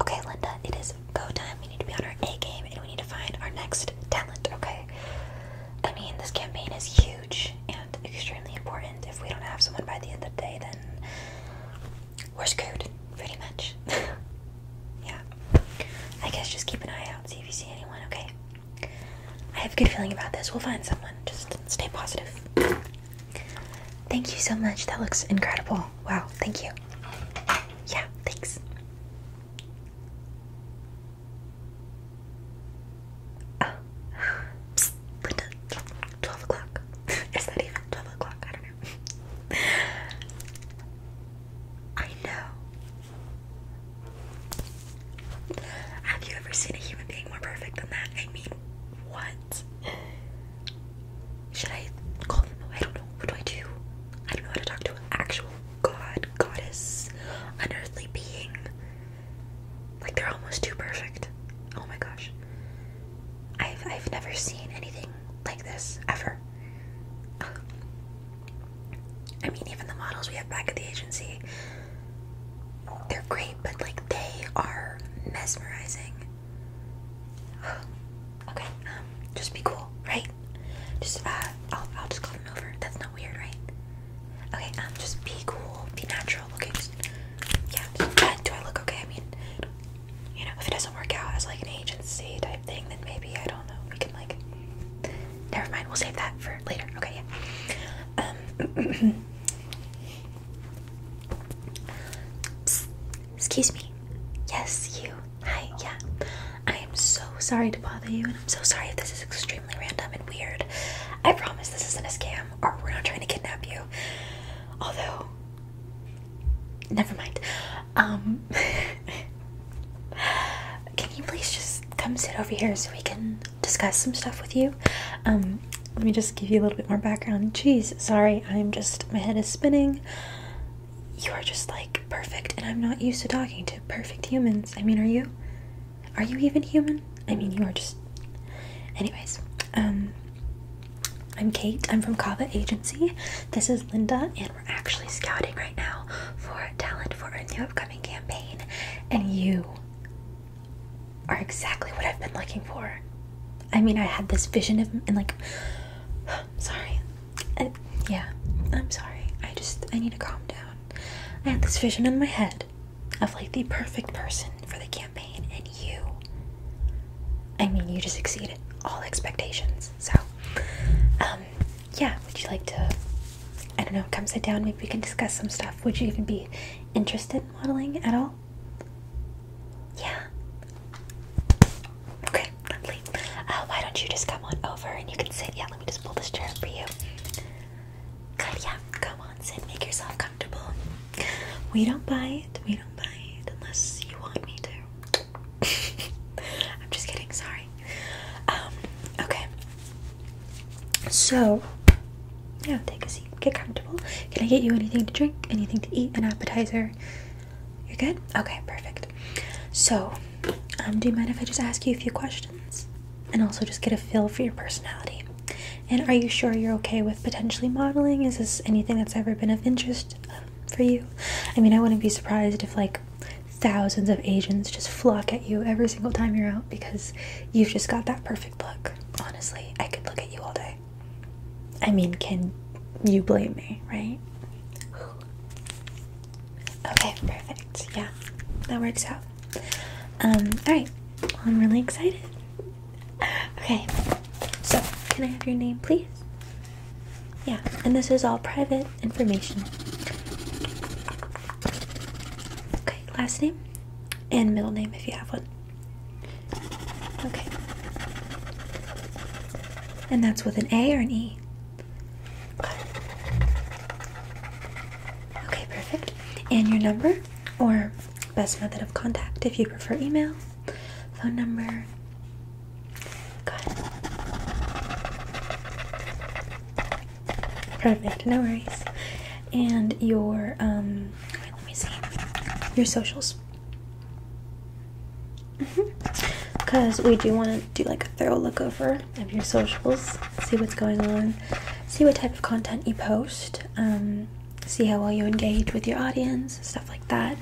Okay, Linda, it is go time. We need to be on our A game and we need to find our next talent, okay? I mean, this campaign is huge and extremely important. If we don't have someone by the end of the day, then we're screwed, pretty much. yeah. I guess just keep an eye out, see if you see anyone, okay? I have a good feeling about this. We'll find someone. Just stay positive. Thank you so much. That looks incredible. Wow, thank you. Yeah, thanks. Linda, ah. 12 o'clock. Is that even 12 o'clock? I don't know. I know. Have you ever seen a human being more perfect than that? I mean, what? Should I call them? I don't know. What do I do? I don't know to talk to an actual god, goddess, unearthly being. Like they're almost too perfect. Oh my gosh. I've I've never seen anything like this ever. I mean, even the models we have back at the agency, they're great, but like they are mesmerizing. okay, um, just be cool, right? Just, uh, I'll, I'll just call them over. That's not weird, right? Okay, um, just be cool, be natural, okay? Just, yeah, just, uh, do I look okay? I mean, you know, if it doesn't work out as like an agency type thing, then maybe, I don't know, we can like, never mind, we'll save that for later. Okay, yeah. Um, Excuse me. Yes, you. Hi, yeah. I am so sorry to bother you, and I'm so sorry if this is extremely random and weird. I promise this isn't a scam, or we're not trying to kidnap you. Although, never mind. Um, can you please just come sit over here so we can discuss some stuff with you? Um, let me just give you a little bit more background. Jeez, sorry, I'm just, my head is spinning you are just like perfect, and I'm not used to talking to perfect humans. I mean, are you? Are you even human? I mean, you are just. Anyways, um, I'm Kate. I'm from Kava Agency. This is Linda, and we're actually scouting right now for talent for a new upcoming campaign, and you are exactly what I've been looking for. I mean, I had this vision of him and like, sorry, yeah, I'm sorry. I just I need to calm down. I had this vision in my head of like the perfect person for the campaign, and you. I mean, you just exceeded all expectations. So, um, yeah. Would you like to? I don't know. Come sit down. Maybe we can discuss some stuff. Would you even be interested in modeling at all? Yeah. Okay, lovely. Uh, why don't you just come on over and you can sit? Yeah, let me just pull this chair up for you. Good, yeah. Come on, sit. Make yourself comfortable. We don't buy it. We don't buy it unless you want me to. I'm just kidding. Sorry. Um. Okay. So, yeah, take a seat. Get comfortable. Can I get you anything to drink? Anything to eat? An appetizer? You're good? Okay, perfect. So, um, do you mind if I just ask you a few questions? And also just get a feel for your personality. And are you sure you're okay with potentially modeling? Is this anything that's ever been of interest um, for you? I mean, I wouldn't be surprised if, like, thousands of agents just flock at you every single time you're out because you've just got that perfect look. Honestly, I could look at you all day. I mean, can you blame me, right? Okay, perfect. Yeah, that works out. Um, alright. I'm really excited. Okay, so can I have your name, please? Yeah, and this is all private information. Okay, last name and middle name if you have one. Okay. And that's with an A or an E? Okay, perfect. And your number or best method of contact if you prefer email, phone number. Good. Perfect, no worries. And your, um, let me see, your socials. Because we do want to do like a thorough look over of your socials, see what's going on, see what type of content you post, um, see how well you engage with your audience, stuff like that.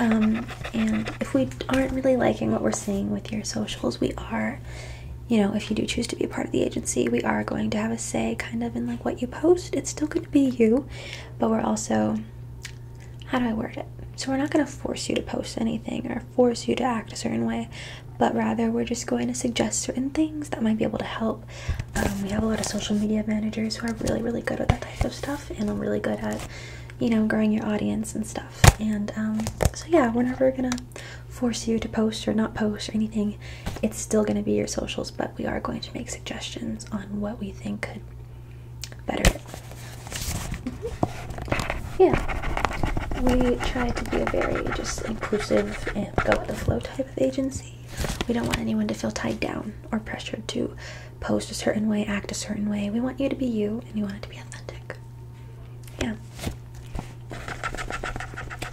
Um, and if we aren't really liking what we're seeing with your socials, we are, you know, if you do choose to be a part of the agency, we are going to have a say kind of in like what you post. It's still going to be you, but we're also how do I word it? So, we're not going to force you to post anything or force you to act a certain way, but rather we're just going to suggest certain things that might be able to help. Um, we have a lot of social media managers who are really, really good at that type of stuff and are really good at, you know, growing your audience and stuff. And um, so, yeah, we're never going to force you to post or not post or anything. It's still going to be your socials, but we are going to make suggestions on what we think could better mm yeah we try to be a very just inclusive and go with the flow type of agency we don't want anyone to feel tied down or pressured to post a certain way act a certain way we want you to be you and you want it to be authentic yeah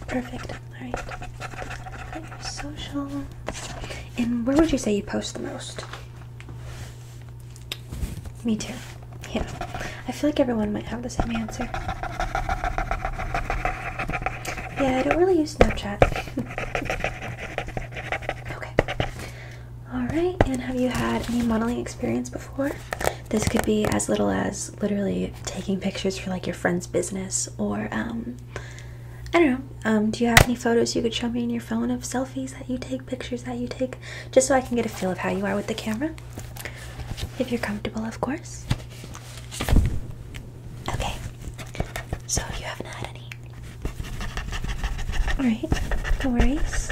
perfect all right social and where would you say you post the most? Me too. Yeah. I feel like everyone might have the same answer. Yeah, I don't really use Snapchat. okay. Alright, and have you had any modeling experience before? This could be as little as literally taking pictures for like your friend's business or um, I don't know. Um, do you have any photos you could show me in your phone of selfies that you take, pictures that you take, just so I can get a feel of how you are with the camera? If you're comfortable, of course. Okay. So you haven't had any. Alright, no worries.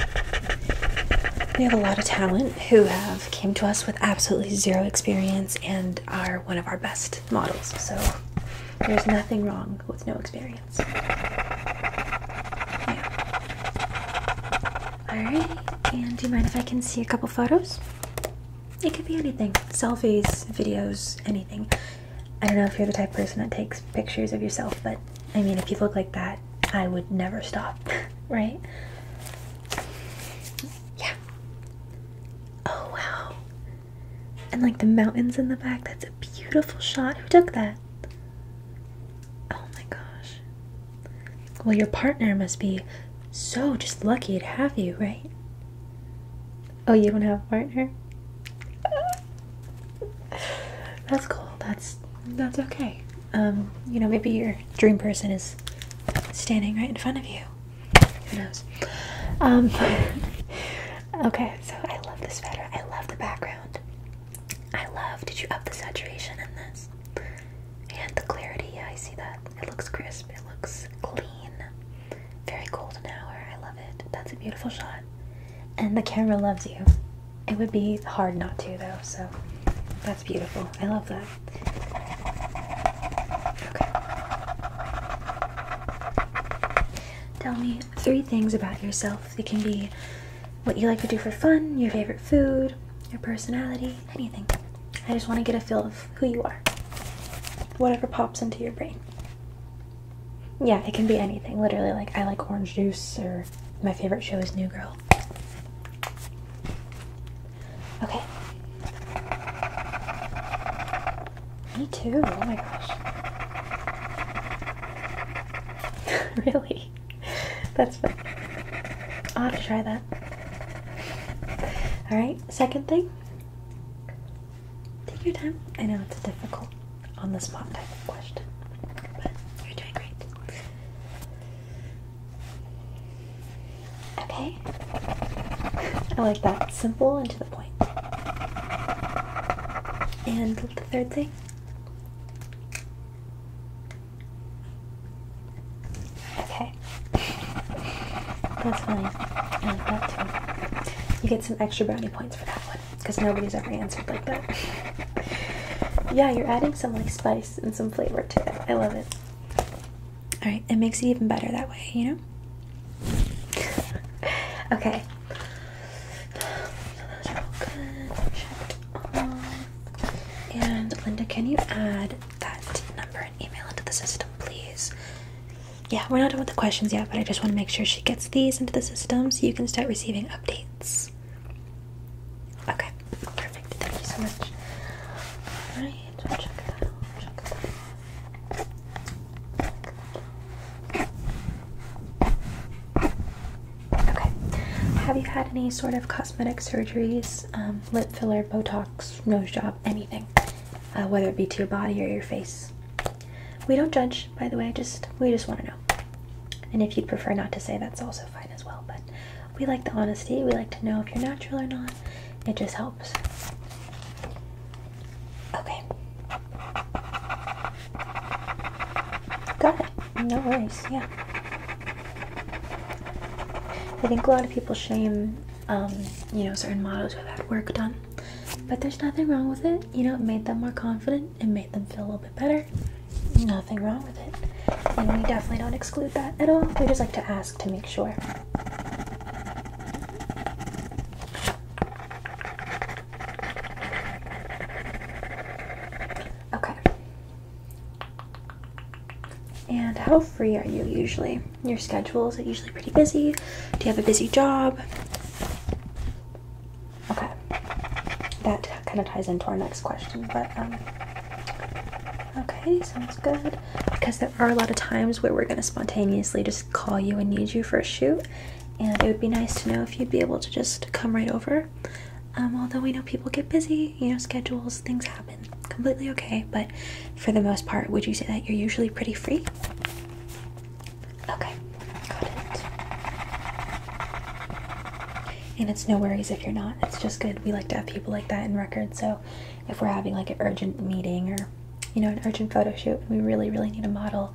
We have a lot of talent who have came to us with absolutely zero experience and are one of our best models. So there's nothing wrong with no experience. Alright, and do you mind if I can see a couple photos? It could be anything selfies, videos, anything. I don't know if you're the type of person that takes pictures of yourself, but I mean, if you look like that, I would never stop, right? Yeah. Oh wow and like the mountains in the back. That's a beautiful shot. Who took that? Oh my gosh. Well, your partner must be so just lucky to have you, right? Oh, you don't have a partner? That's cool. That's that's okay. Um, you know, maybe your dream person is standing right in front of you. Who knows? Um, Okay, so I love this sweater. I love the background. I love. Did you up the saturation in this? And the clarity. I see that. It looks crisp. It looks clean. Very cold an hour. I love it. That's a beautiful shot. And the camera loves you. It would be hard not to though. So that's beautiful. I love that. Okay. Tell me three things about yourself. It can be what you like to do for fun, your favorite food, your personality, anything. I just want to get a feel of who you are. Whatever pops into your brain. Yeah, it can be anything. Literally, like, I like orange juice, or my favorite show is New Girl. Okay. Me too. Oh my gosh. really? That's fun. I'll have to try that. Alright, second thing. Take your time. I know it's difficult on this spot type question, but you're doing great. Okay. I like that. Simple and to the. And the third thing. Okay. That's fine. You get some extra brownie points for that one because nobody's ever answered like that. yeah, you're adding some like spice and some flavor to it. I love it. All right, it makes it even better that way, you know? okay. And Linda, can you add that number and email into the system, please? Yeah, we're not done with the questions yet, but I just want to make sure she gets these into the system so you can start receiving updates. Okay, perfect. Thank you so much. Alright, Okay. Have you had any sort of cosmetic surgeries, um, lip filler, Botox, nose job, anything, uh, whether it be to your body or your face? We don't judge, by the way. Just we just want to know. And if you'd prefer not to say, that's also fine as well. But we like the honesty. We like to know if you're natural or not. It just helps. Okay. Got it. No worries. Yeah. I think a lot of people shame, um, you know, certain models who have had work done, but there's nothing wrong with it. You know, it made them more confident. It made them feel a little bit better. Nothing wrong with it. And we definitely don't exclude that at all. We just like to ask to make sure. Okay. And how free are you usually? Your schedule is it usually pretty busy? Do you have a busy job? Okay. That kind of ties into our next question, but um okay, sounds good. Because there are a lot of times where we're going to spontaneously just call you and need you for a shoot. And it would be nice to know if you'd be able to just come right over. Um, although we know people get busy, you know, schedules, things happen. Completely okay, but for the most part, would you say that you're usually pretty free? Okay, got it. And it's no worries if you're not. It's just good. We like to have people like that in record. So if we're having like an urgent meeting or you know, an urgent photo shoot we really, really need a model,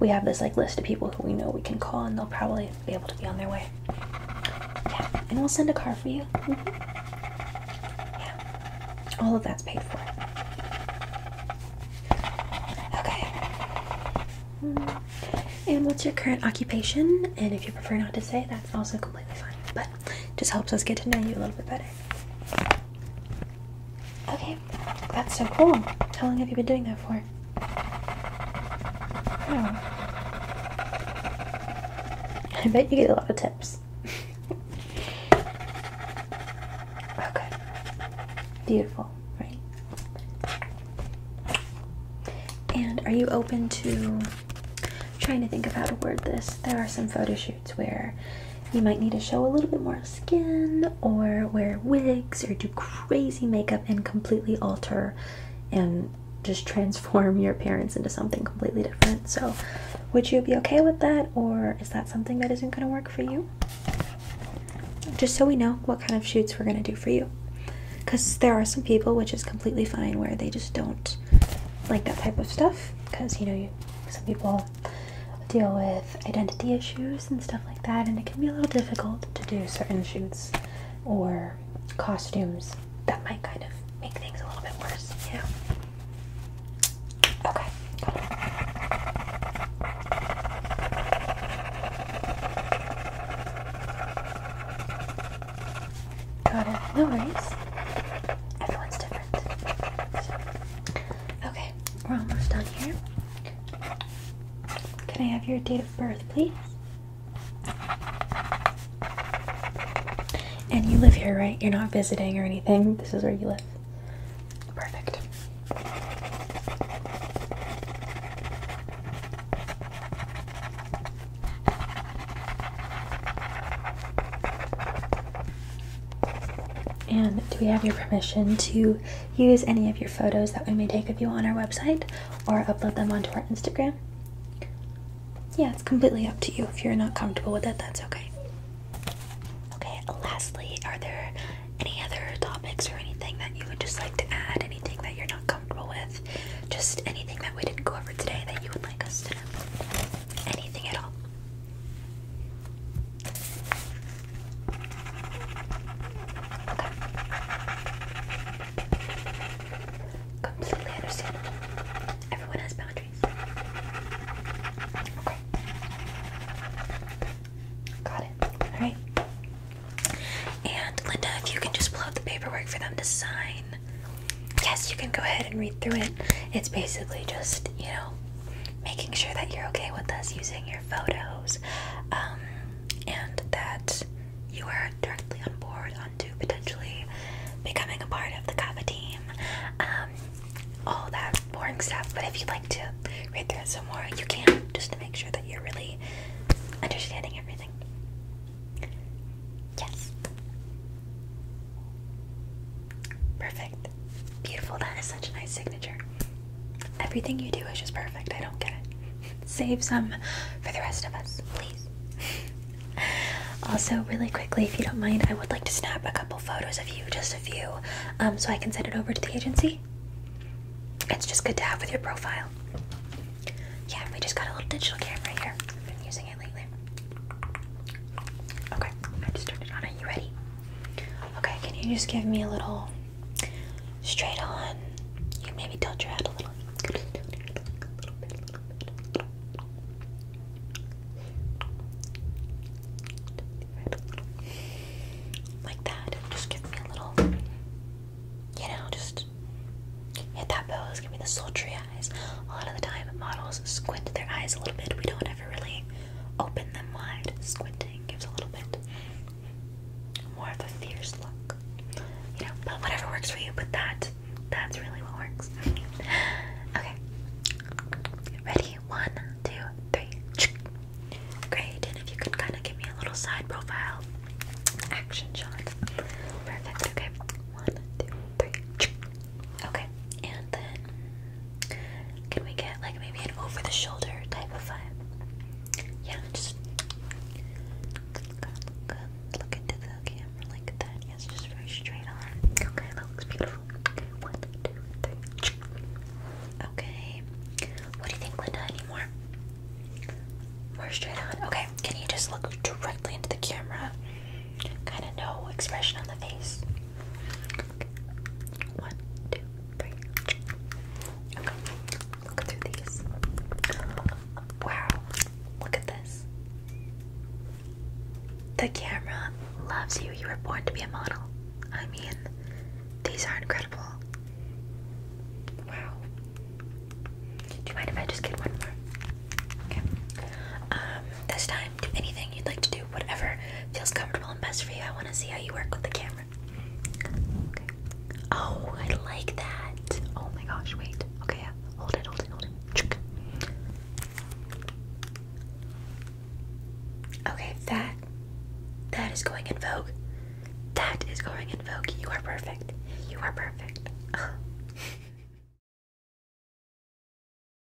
we have this like list of people who we know we can call and they'll probably be able to be on their way. Yeah, and we'll send a car for you. Mm-hmm. Yeah, all of that's paid for. Okay. Mm-hmm. And what's your current occupation? And if you prefer not to say, that's also completely fine. But just helps us get to know you a little bit better. Okay, that's so cool. How long have you been doing that for? I bet you get a lot of tips. okay. Beautiful, right? And are you open to trying to think of how to word this? There are some photo where you might need to show a little bit more skin or wear wigs or do crazy makeup and completely alter and just transform your appearance into something completely different. So, would you be okay with that, or is that something that isn't going to work for you? Just so we know what kind of shoots we're going to do for you. Because there are some people, which is completely fine, where they just don't like that type of stuff. Because, you know, you, some people deal with identity issues and stuff like that, and it can be a little difficult to do certain shoots or costumes that might kind of make things a little bit worse, Yeah. Okay. Got it. No worries. Everyone's different. Okay, we're almost done here. Can I have your date of birth, please? And you live here, right? You're not visiting or anything. This is where you live. Perfect. And do we have your permission to use any of your photos that we may take of you on our website or upload them onto our Instagram? Yeah, it's completely up to you. If you're not comfortable with that, that's okay. Okay, lastly, are there any other topics or anything that you would just like to add? Anything that you're not comfortable with? Just anything that we didn't go over today that you would like us to know? Anything at all? Okay. Completely understand. Everyone has boundaries. Got it. Alright. And Linda, if you can just pull out the paperwork for them to sign. Yes, you can go ahead and read through it. It's basically just, you know, making sure that you're okay with us using your photos um, and that you are directly on board to potentially becoming a part of the Kava team. Um, all that boring stuff, but if you'd like to read through some more, you can, just to make sure that you're really understanding everything. Yes. Perfect. Beautiful. That is such a nice signature. Everything you do is just perfect. I don't get it. Save some for the rest of us, please. also, really quickly, if you don't mind, I would like to snap a couple photos of you, just a few, um, so I can send it over to the agency. It's just good to have with your profile. Yeah, we just got a little digital camera here. I've been using it lately. Okay, I just turned it on. Are you ready? Okay, can you just give me a little straight on? You can maybe tilt your head a little. Like that. Just give me a little, you know, just hit that pose. Give me the sultry eyes. A lot of the time, models squint their eyes a little bit. We don't ever really Open them wide. Squinting gives a little bit more of a fierce look. You know, but whatever works for you, but that that's really what works. okay. Ready? One, two, three. Great. And if you could kind of give me a little side profile action shot. Perfect. Okay. One, two, three. Okay, and then can we get like maybe an over the shoulder type of vibe? Yeah, just look, into the camera like that. Yes, just very straight on. Okay, that looks beautiful. one, two, three. Okay, what do you think, Linda? Any more? More straight on. Okay, can you just look directly into the camera? Kind of no expression on the face. One, two, three. Okay, look through these. Wow, look at this. The camera loves you. You were born to be a model. I mean, these are incredible. Wow. Do you mind if I just get one more? Okay. Um, this time do anything you'd like to do, whatever feels comfortable and best for you. I want to see how you work with the camera. Oh, I like that. Oh my gosh, wait. Okay, hold it, hold it, hold it. Okay, that that is going in vogue. That is going in vogue. You are perfect. You are perfect.